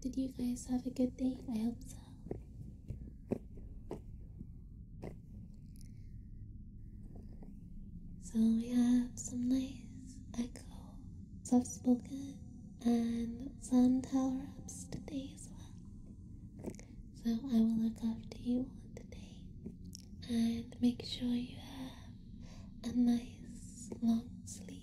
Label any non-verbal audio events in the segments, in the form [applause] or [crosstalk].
Did you guys have a good day? I hope so. So we have some nice echo, soft spoken, and some tower ups today as well. So I will look after you all today and make sure you have a nice long sleep.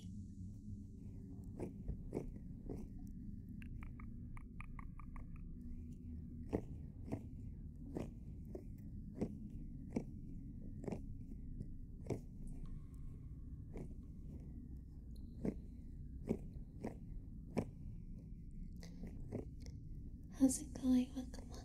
How's it going? Welcome, welcome.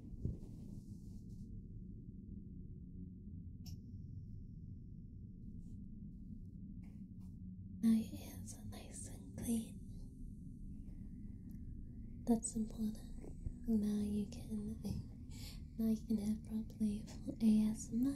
Now your ears are nice and clean. That's important. Now you can now you can hear properly for ASMR.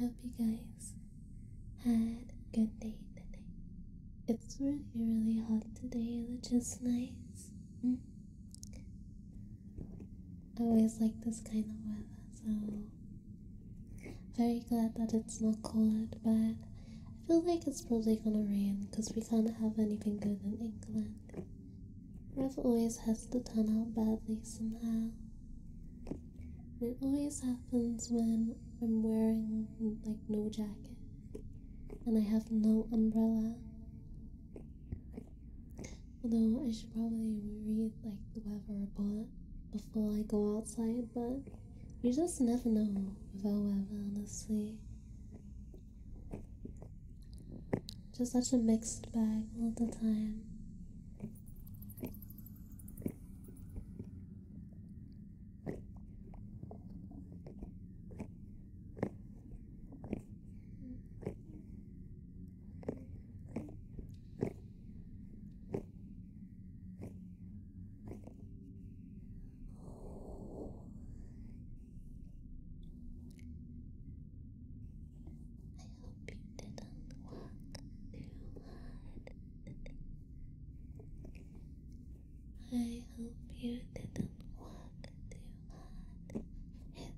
Hope you guys had a good day today. It's really, really hot today, which is nice. Hmm. I always like this kind of weather, so very glad that it's not cold, but I feel like it's probably gonna rain because we can't have anything good in England. Rev always has to turn out badly somehow. It always happens when I'm wearing like no jacket and I have no umbrella. Although I should probably read like the weather report before I go outside, but you just never know with weather, honestly. Just such a mixed bag all the time. I hope you didn't walk too hard. I hope you didn't walk too hard.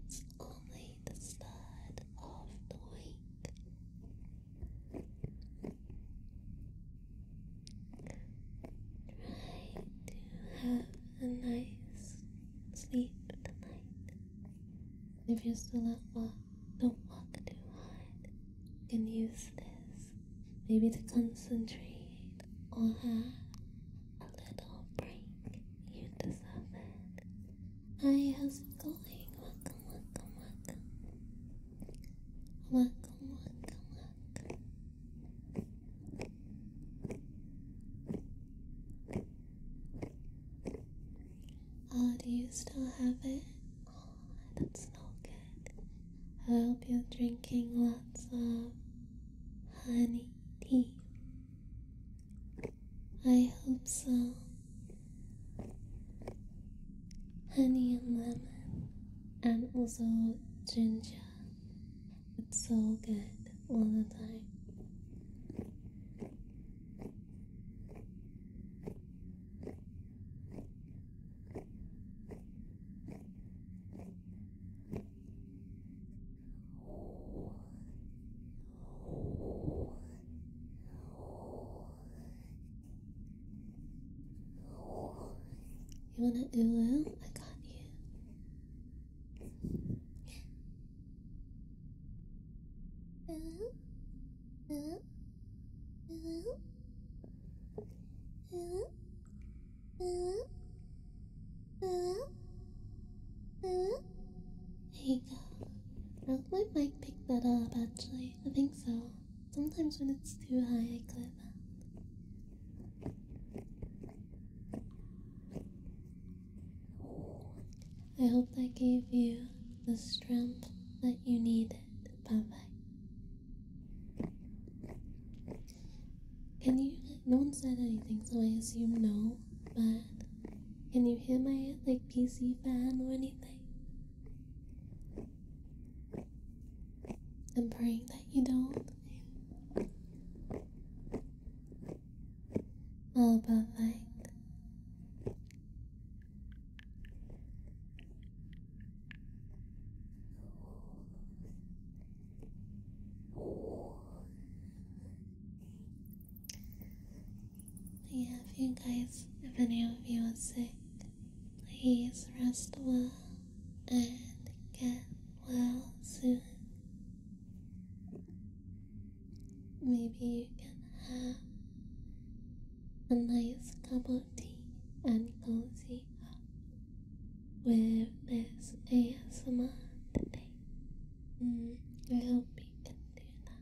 It's only the start of the week. Try have a nice sleep tonight. If you're still at work, don't walk too hard. You can use this maybe to concentrate or have a little break. You deserve it. Hi, how's it going? Welcome, welcome, welcome. Welcome, welcome, welcome. Oh, do you still have it? Oh, that's not good. I hope you're drinking lots of honey tea. I hope so. Honey and lemon, and also ginger it's so good all the time. You wanna do I got you. There you go. Now my mic picked that up actually. I think so. Sometimes when it's too high I clip that. I hope that gave you the strength that you needed. Bye bye. Can you? No one said anything, so I assume no. But can you hear my like PC fan or anything? I'm praying that you don't all perfect. I have you guys, if any of you are sick, please rest well and get well soon. Maybe you can have a nice cup of tea and cozy up with this ASMR today. Mm, I hope you can do that.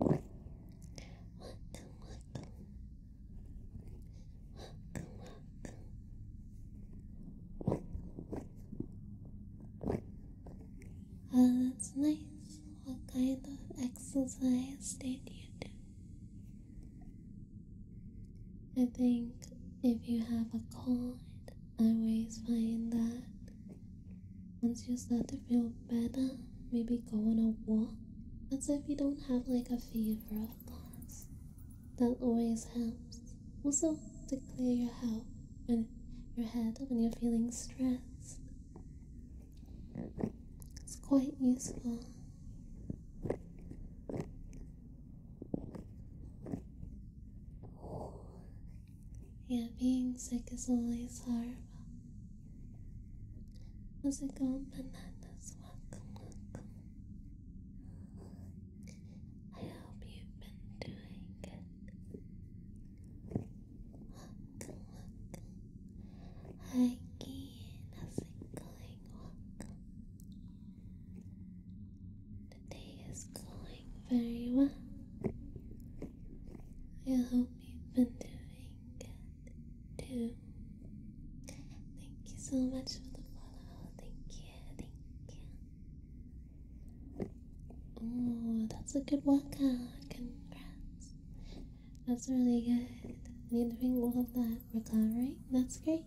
Welcome, welcome Oh, that's nice. What kind of exercise did you do? I think if you have a cold, I always find that once you start to feel better, maybe go on a walk as if you don't have like a fever or course. That always helps. Also to clear your head when your head when you're feeling stressed. It's quite useful. Yeah, being sick is always horrible. How's it going, bananas? Welcome, welcome. I hope you've been doing good. Welcome, welcome. Hi, Keen. How's it The day is going very well. I hope you've been doing good too. Thank you so much for the follow. Thank you, thank you. Oh, that's a good workout. Congrats. That's really good. I you're doing all of that recovering. That's great.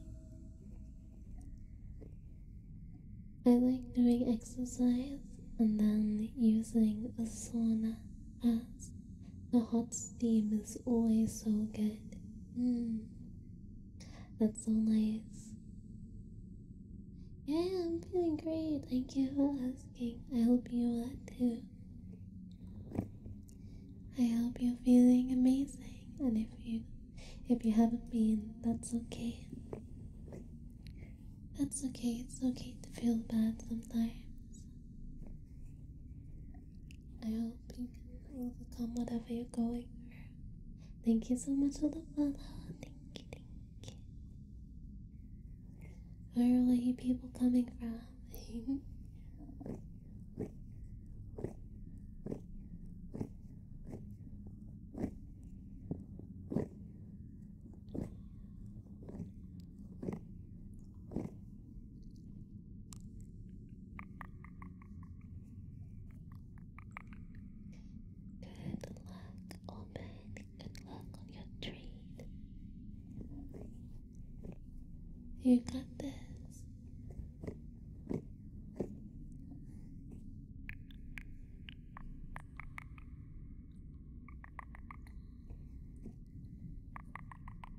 I like doing exercise and then using a sauna the hot steam is always so good. Mm. That's so nice. Yeah, I'm feeling great. Thank you for asking. I hope you are too. I hope you're feeling amazing, and if you if you haven't been, that's okay. That's okay. It's okay to feel bad sometimes. I hope you can overcome wherever you're going Thank you so much for the follow. Thank you, thank you. Where are you people coming from? Good luck, old Good luck on your trade. You got this.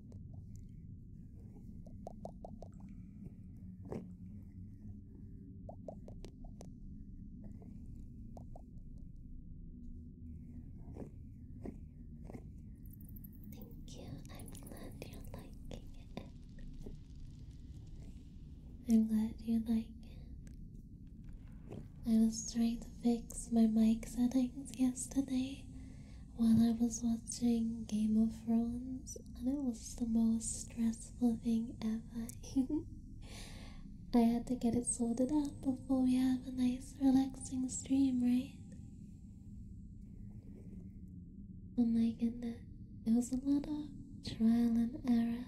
Thank you. I'm glad you're it. I'm glad you like it. I was trying to fix my mic settings yesterday while I was watching Game of Thrones, and it was the most stressful thing ever. [laughs] I had to get it sorted out before we have a nice, relaxing stream, right? Oh my goodness, it was a lot of trial and error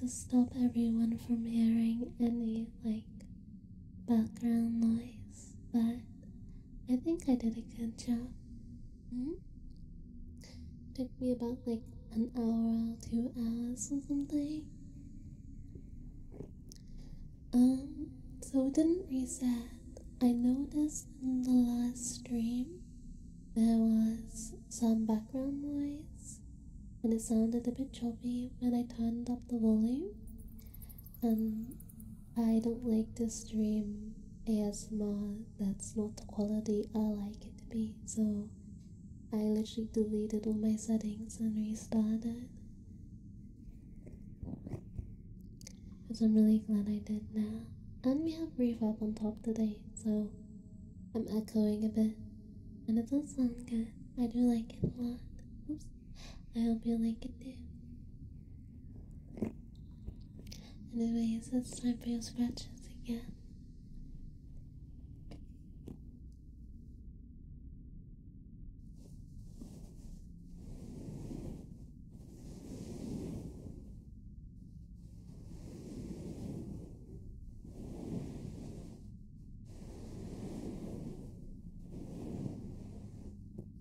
to stop everyone from hearing any, like, background noise, but I think I did a good job. Hmm? Took me about like an hour or two hours or something. Um, so it didn't reset. I noticed in the last stream there was some background noise and it sounded a bit choppy when I turned up the volume. And I don't like this stream ASMR, that's not the quality I like it to be, so I literally deleted all my settings and restarted. Which I'm really glad I did now. And we have reverb on top today, so I'm echoing a bit. And it does sound good. I do like it a lot. Oops. I hope you like it too. Anyways, it's time for your scratches again.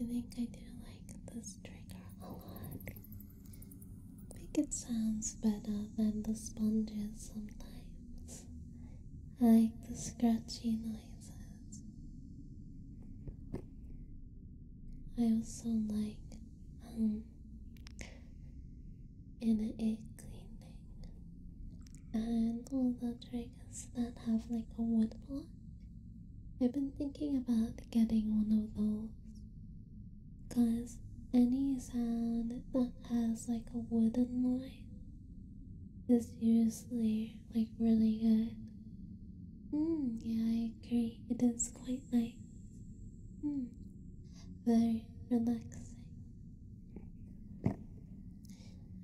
I think I do like this trigger a lot. I think it sounds better than the sponges sometimes. I like the scratchy noises. I also like um in a cleaning and all the triggers that have like a wood block. I've been thinking about getting one of those because any sound that has like a wooden line it's usually like really good. Hmm, yeah, I agree. It is quite nice. Hmm, very relaxing.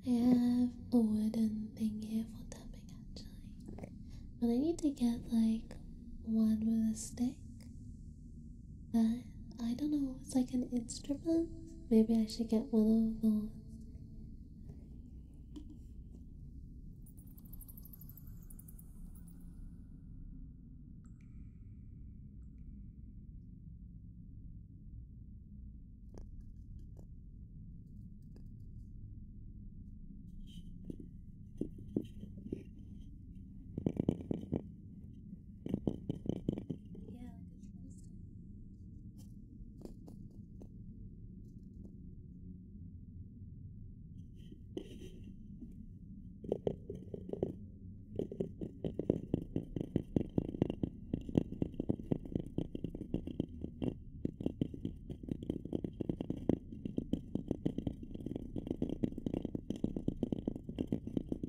I have a wooden thing here for tapping actually. But I need to get like one with a stick I, uh, I don't know, it's like an instrument. Maybe I should get one of those. Yeah, like a tombstone. Thank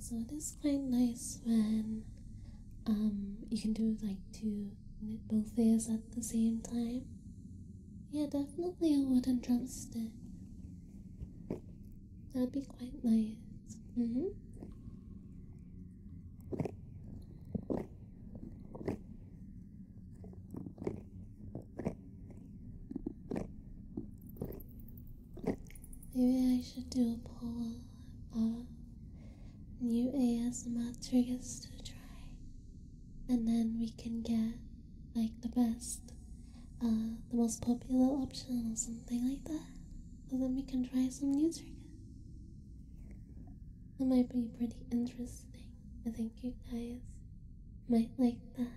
so it is quite nice when um, you can do like two knit both ears at the same time. Yeah, definitely a wooden drumstick. That'd be quite nice. Mm-hmm. Maybe I should do a poll about new ASMR triggers to try, and then we can get like the best, uh, the most popular option or something like that. So then we can try some new triggers. That might be pretty interesting. I think you guys might like that.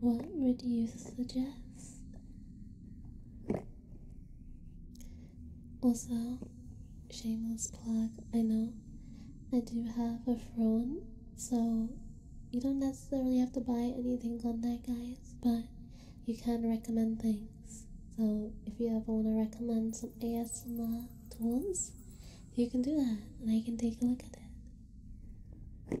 What would you suggest? Also, shameless plug, I know I do have a phone, so you don't necessarily have to buy anything on that, guys, but you can recommend things. So if you ever want to recommend some ASMR tools, you can do that, and I can take a look at it.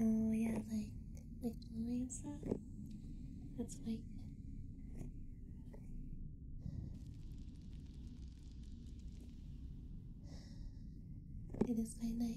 Oh yeah, like like jewelry and stuff. That's like It is quite nice.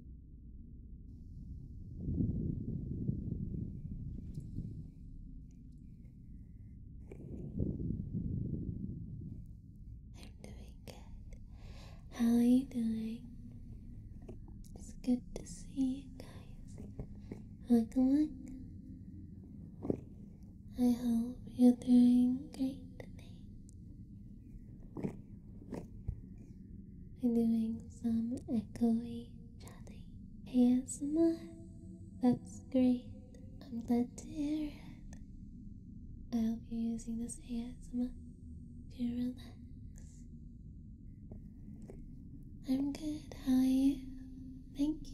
I'm doing good. How are you doing? It's good to see you guys. Welcome, I hope you're doing great today. I'm doing some echoey chatting ASMR. That's great. I'm glad to hear it. I will be using this ASMR to relax. I'm good. How are you? Thank you.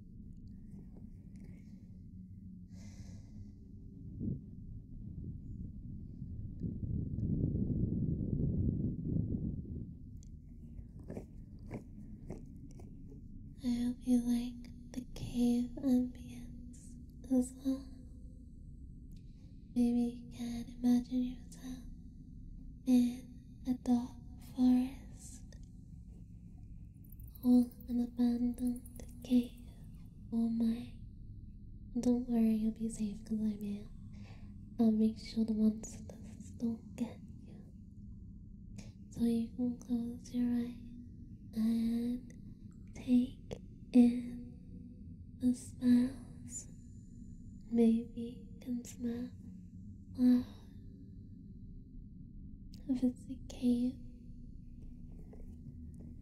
I hope you like the cave ambience as well. Maybe you can imagine yourself in a dark forest all an abandoned cave. Oh my. Don't worry, you'll be safe because I'm here. I'll make sure the monsters don't get you. So you can close your eyes and take in the smells. Maybe you can smell if it's a cave,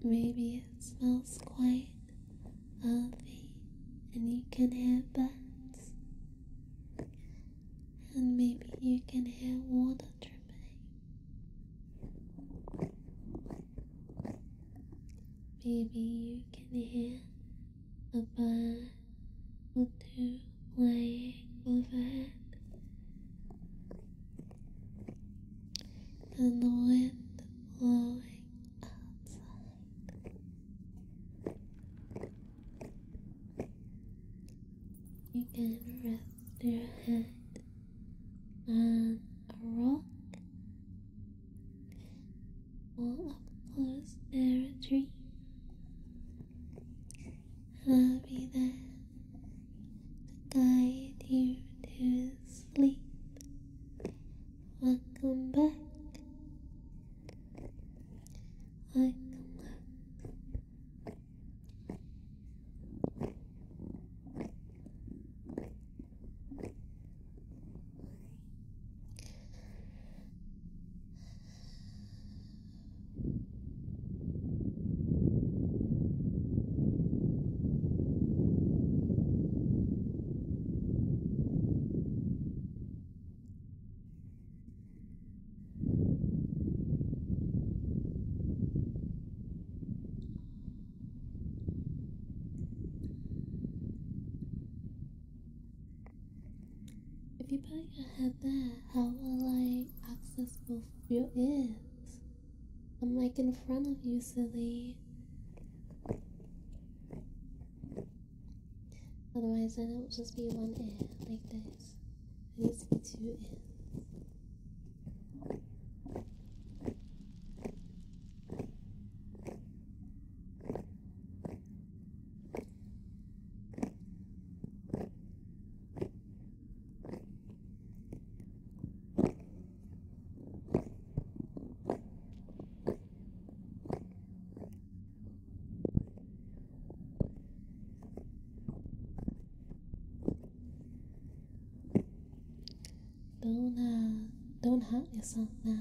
maybe it smells quite healthy and you can hear birds. And maybe you can hear water dripping. Maybe you can hear a bird with her flying overhead. And the wind blowing outside. You can rest your head on a rock or up close near a tree I'll be there to guide you to sleep. Welcome back. Welcome back. If you bow your head but how will uh, I access both your ears? I'm like in front of you, silly. Otherwise, then it will just be one ear, like this. It needs to be two ears. Don't uh, don't hurt yourself now.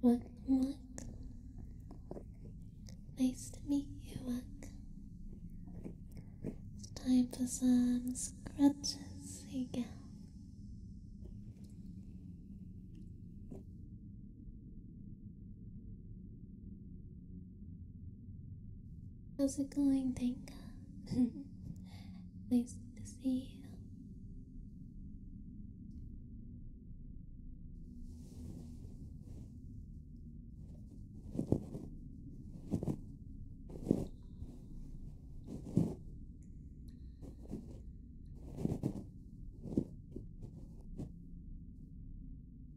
Welcome, Nice to meet you, welcome. It's time for some scratches again. How's it going, Tenka? [laughs] nice to see you.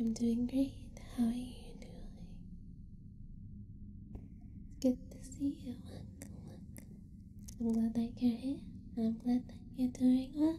I'm doing great. How are you doing? It's good to see you. I'm glad that you're here. I'm glad that you're doing well.